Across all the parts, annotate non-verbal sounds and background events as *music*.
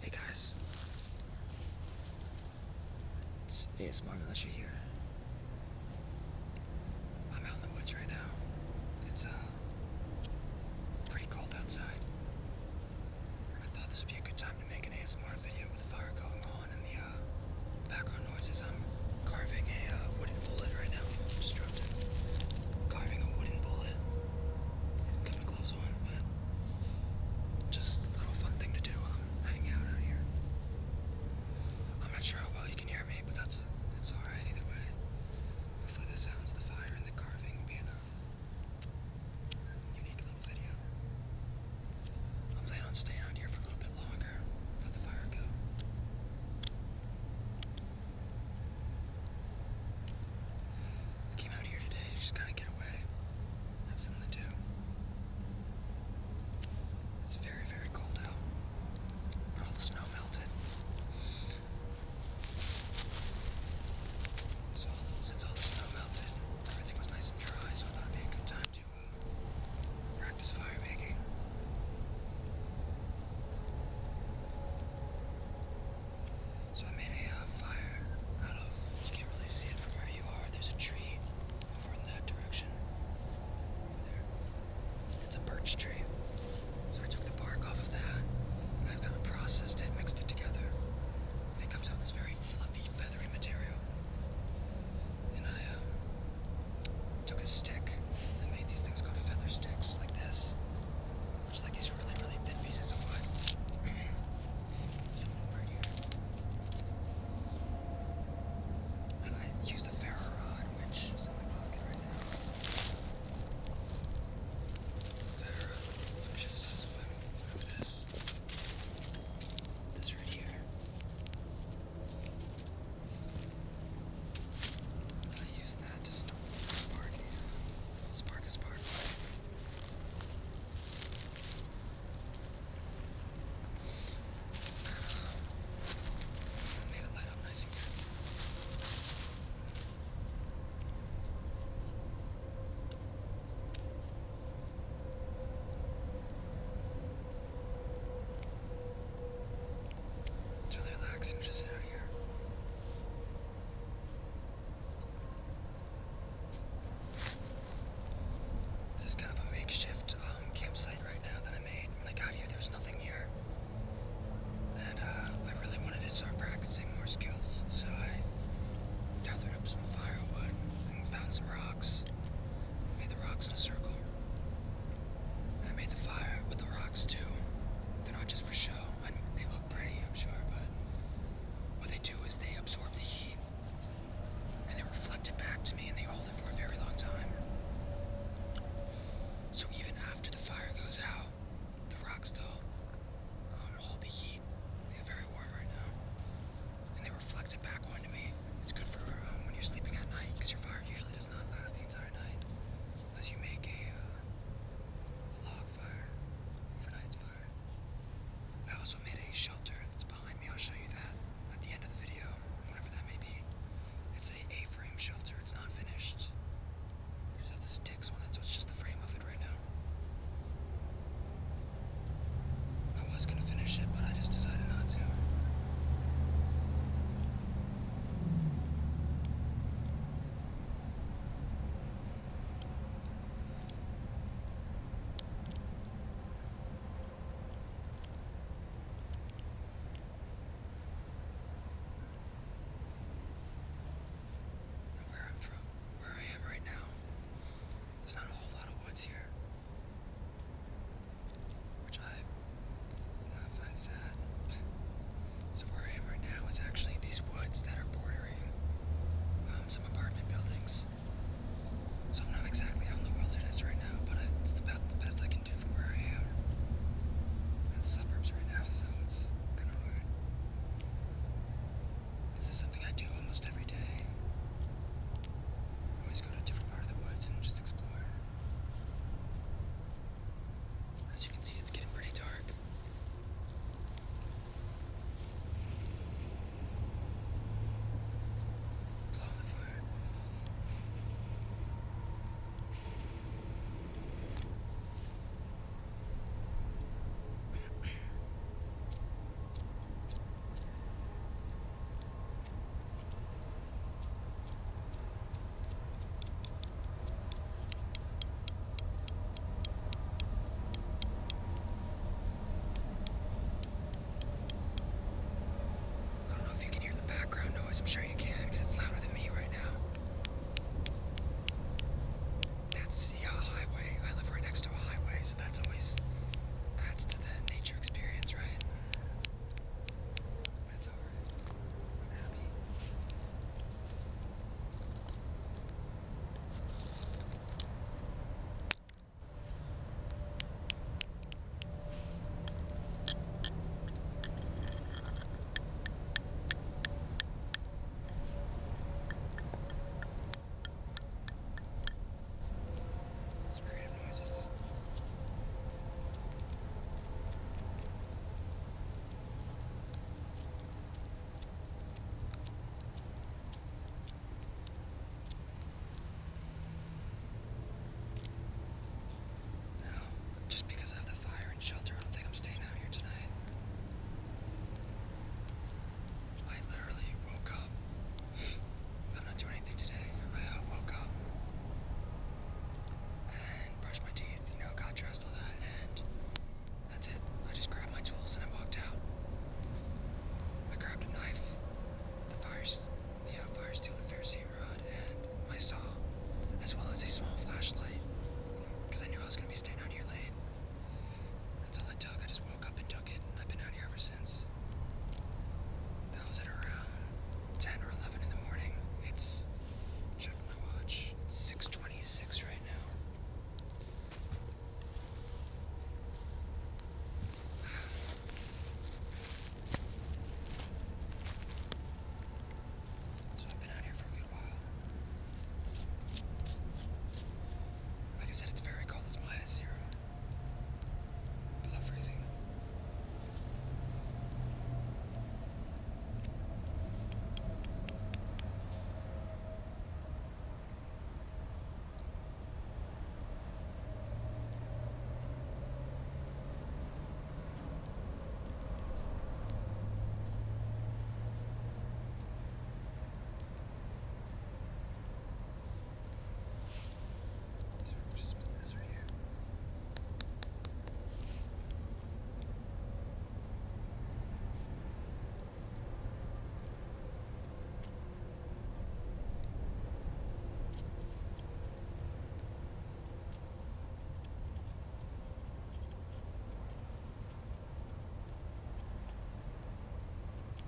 Hey guys, it's ASMR unless here. I'm out in the woods right now. It's uh, pretty cold outside. I thought this would be a good time to make an ASMR video with the fire going on and the uh, background noises. I'm carving a uh, wooden bullet right now. just carving a wooden bullet. Put the gloves on, but just little fun thing to do while I'm out out here. I'm not sure how well you can hear me, but that's it's alright either way. Hopefully the sounds of the fire and the carving will be enough. Unique little video. I'm on staying out here for a little bit longer. Let the fire go. I came out here today to just kind of get away, have something to do. It's very, very cold out. All the snow melted. So since all the snow melted, everything was nice and dry, so I thought it'd be a good time to uh, practice fire making. So I made a uh, fire out of, you can't really see it from where you are, there's a tree over in that direction. there. It's a birch tree. So I took the bark off of that, and I've kind of processed it, mixed it together, and it comes out this very fluffy, feathery material. And I, um, took a stick and made these things go to feather sticks like this, which like these really, really thin pieces of wood. *clears throat* And I used a ferro rod, which is in my pocket right now. Ferro, which is this, this right here. I use that to stop Sparky. Spark a spark. Made it light up nice and good. It's really relaxing just sit out here. This is kind of a makeshift um, campsite right now that I made. When I got here, there was nothing here. And uh, I really wanted to start practicing more skills, so I gathered up some firewood and found some rocks. Made the rocks in a circle. I made the fire, but the rocks too. They're not just for show. I, they look pretty, I'm sure, but what they do is they absorb the heat and they reflect it back to me and they hold it for a very long time. So even after the fire goes out, the rocks still um, hold the heat. They very warm right now. And they reflect it back onto me. It's good for um, when you're sleeping at night because your fire usually usually does not last the entire night unless you make a, uh, log fire, overnight's fire. I also made a shelter that's behind me. I'll show you that at the end of the video, whatever that may be. It's a A-frame shelter. It's not finished. You just have sticks on it, so it's just the frame of it right now. I was gonna finish it, but I just decided not to. Where I'm from, where I am right now, there's not a whole lot of woods here. Which I, find sad. So where I am right now is actually these woods that are bordering um, some apartment buildings. So I'm not exactly out in the wilderness right now, but it's about the best I can do from where I am. suburbs right now, so it's kind of hard. This is something I do almost every day. always go to different part of the woods and just explore. As you can see, it's getting pretty dark. Blow on the fire. I'm sure you can, because it's louder than me right now. That's, yeah, a highway. I live right next to a highway, so that's always adds to the nature experience, right? But it's alright. I'm happy. No, just because I have the fire and shelter, I don't think I'm staying out here tonight. I literally woke up I'm not doing anything today. I uh, woke up and brushed my teeth, you know, got that, and that's it. I just grabbed my tools and I walked out. I grabbed a knife, the fire's, the uh, fire steel, the ferrocene rod, and my saw, as well as a small flashlight, because I knew I was going to be staying out here late. That's all I took. I just woke up and took I've been out here ever since. That was at around 10 or 11 in the morning. It's, check my watch, it's 6.26 right now. So I've been out here for a good while. Like I said, it's very cold, it's minus zero. I love freezing. So we're just spin this right here.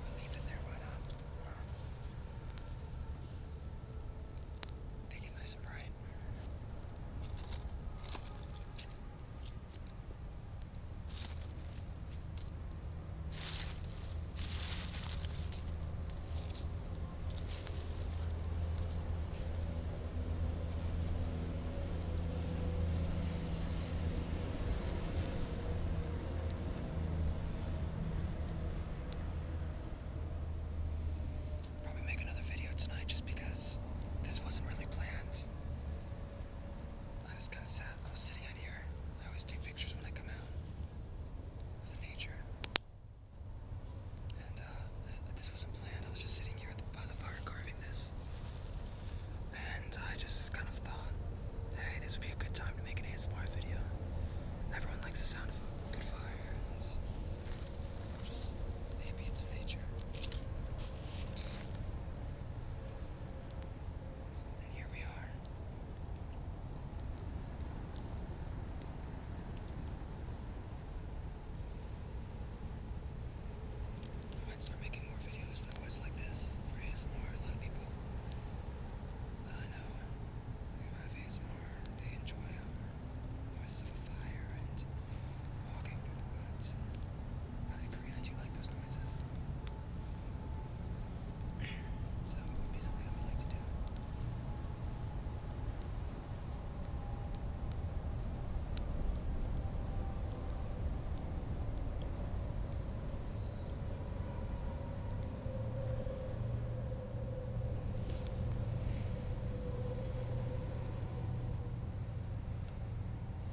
We're leaving there, why not? Make it nice and bright. Probably make another video tonight just because this wasn't really planned. I just kind of sat. I was sitting out here. I always take pictures when I come out of nature. And uh, this wasn't planned. I was just sitting here by the fire carving this, and I just kind of thought, hey, this would be a good time to make an ASMR video. Everyone likes the sound of a good fire, just the beats of nature. And here we are. I might start making more videos in the woods like this for ASMR. A lot of people that I know who have ASMR, they enjoy um, noises of a fire and walking through the woods. I agree, I do like those noises. So it would be something I would like to do.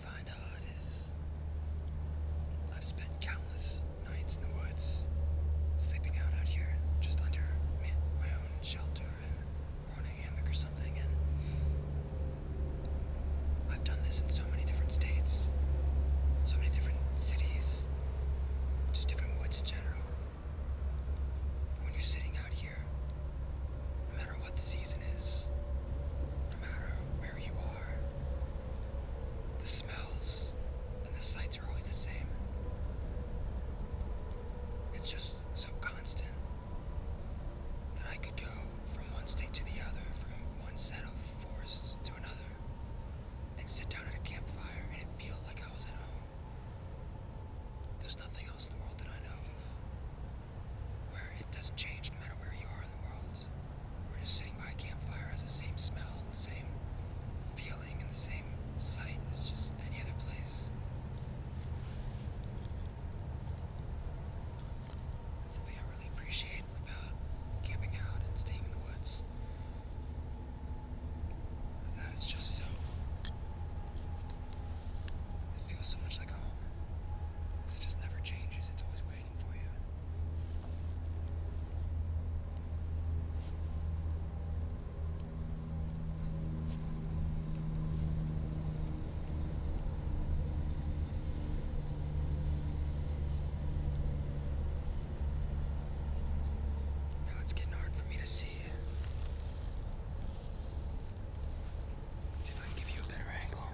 find how hard is. I've spent countless nights in the woods, sleeping out out here, just under my own shelter and on a hammock or something, and I've done this in so many different states, so many different cities, just different woods in general. But when you're sitting out here, no matter what the season is, no matter where you the smells and the sights are always the same. It's just so constant that I could go from one state to the other, from one set of forests to another, and sit down at a campfire and it feel like I was at home. There's nothing else in the world that I know where it doesn't change no matter where you are in the world. We're just sitting by a campfire has the same smell, the same feeling, and the same sight as just any other place. That's something I really appreciate about camping out and staying in the woods. That is just so. It feels so much like home. it just never changes, it's always waiting you. Now it's getting hard for me to see. see if I can give you a better angle.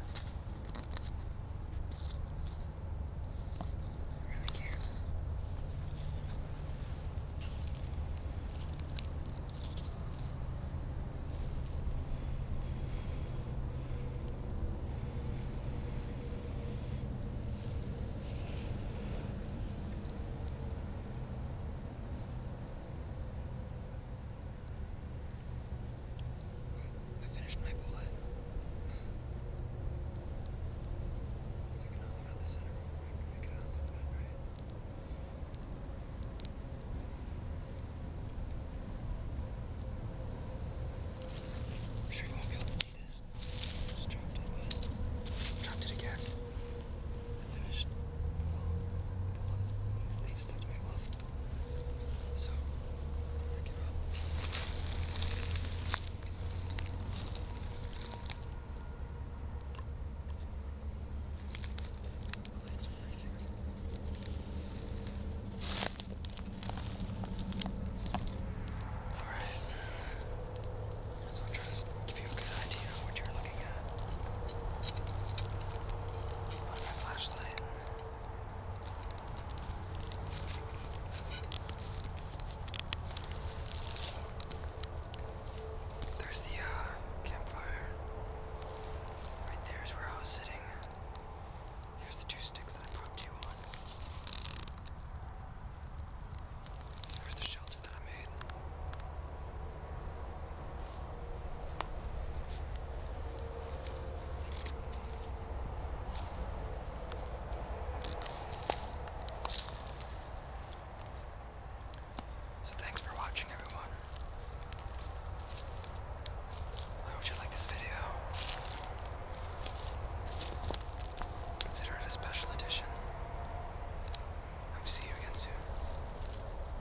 Really cute. I finished my bullet. So I can hollow out the center real quick and make it out a little bit, right? I'm sure you won't be able to see this. Just dropped it, but dropped it again. I finished the bullet. The leaf stuck to my glove. So, I give up. My legs are freezing. Alright. So I'll try to give you a good idea of what you're looking at. Find my flashlight. There's the uh, campfire. Right there's where I was sitting. Here's the two sticks that I propped you on. Here's the shelter that I made. So thanks for watching everyone. I hope you like this video. Consider it a special edition. Hope to see you again soon.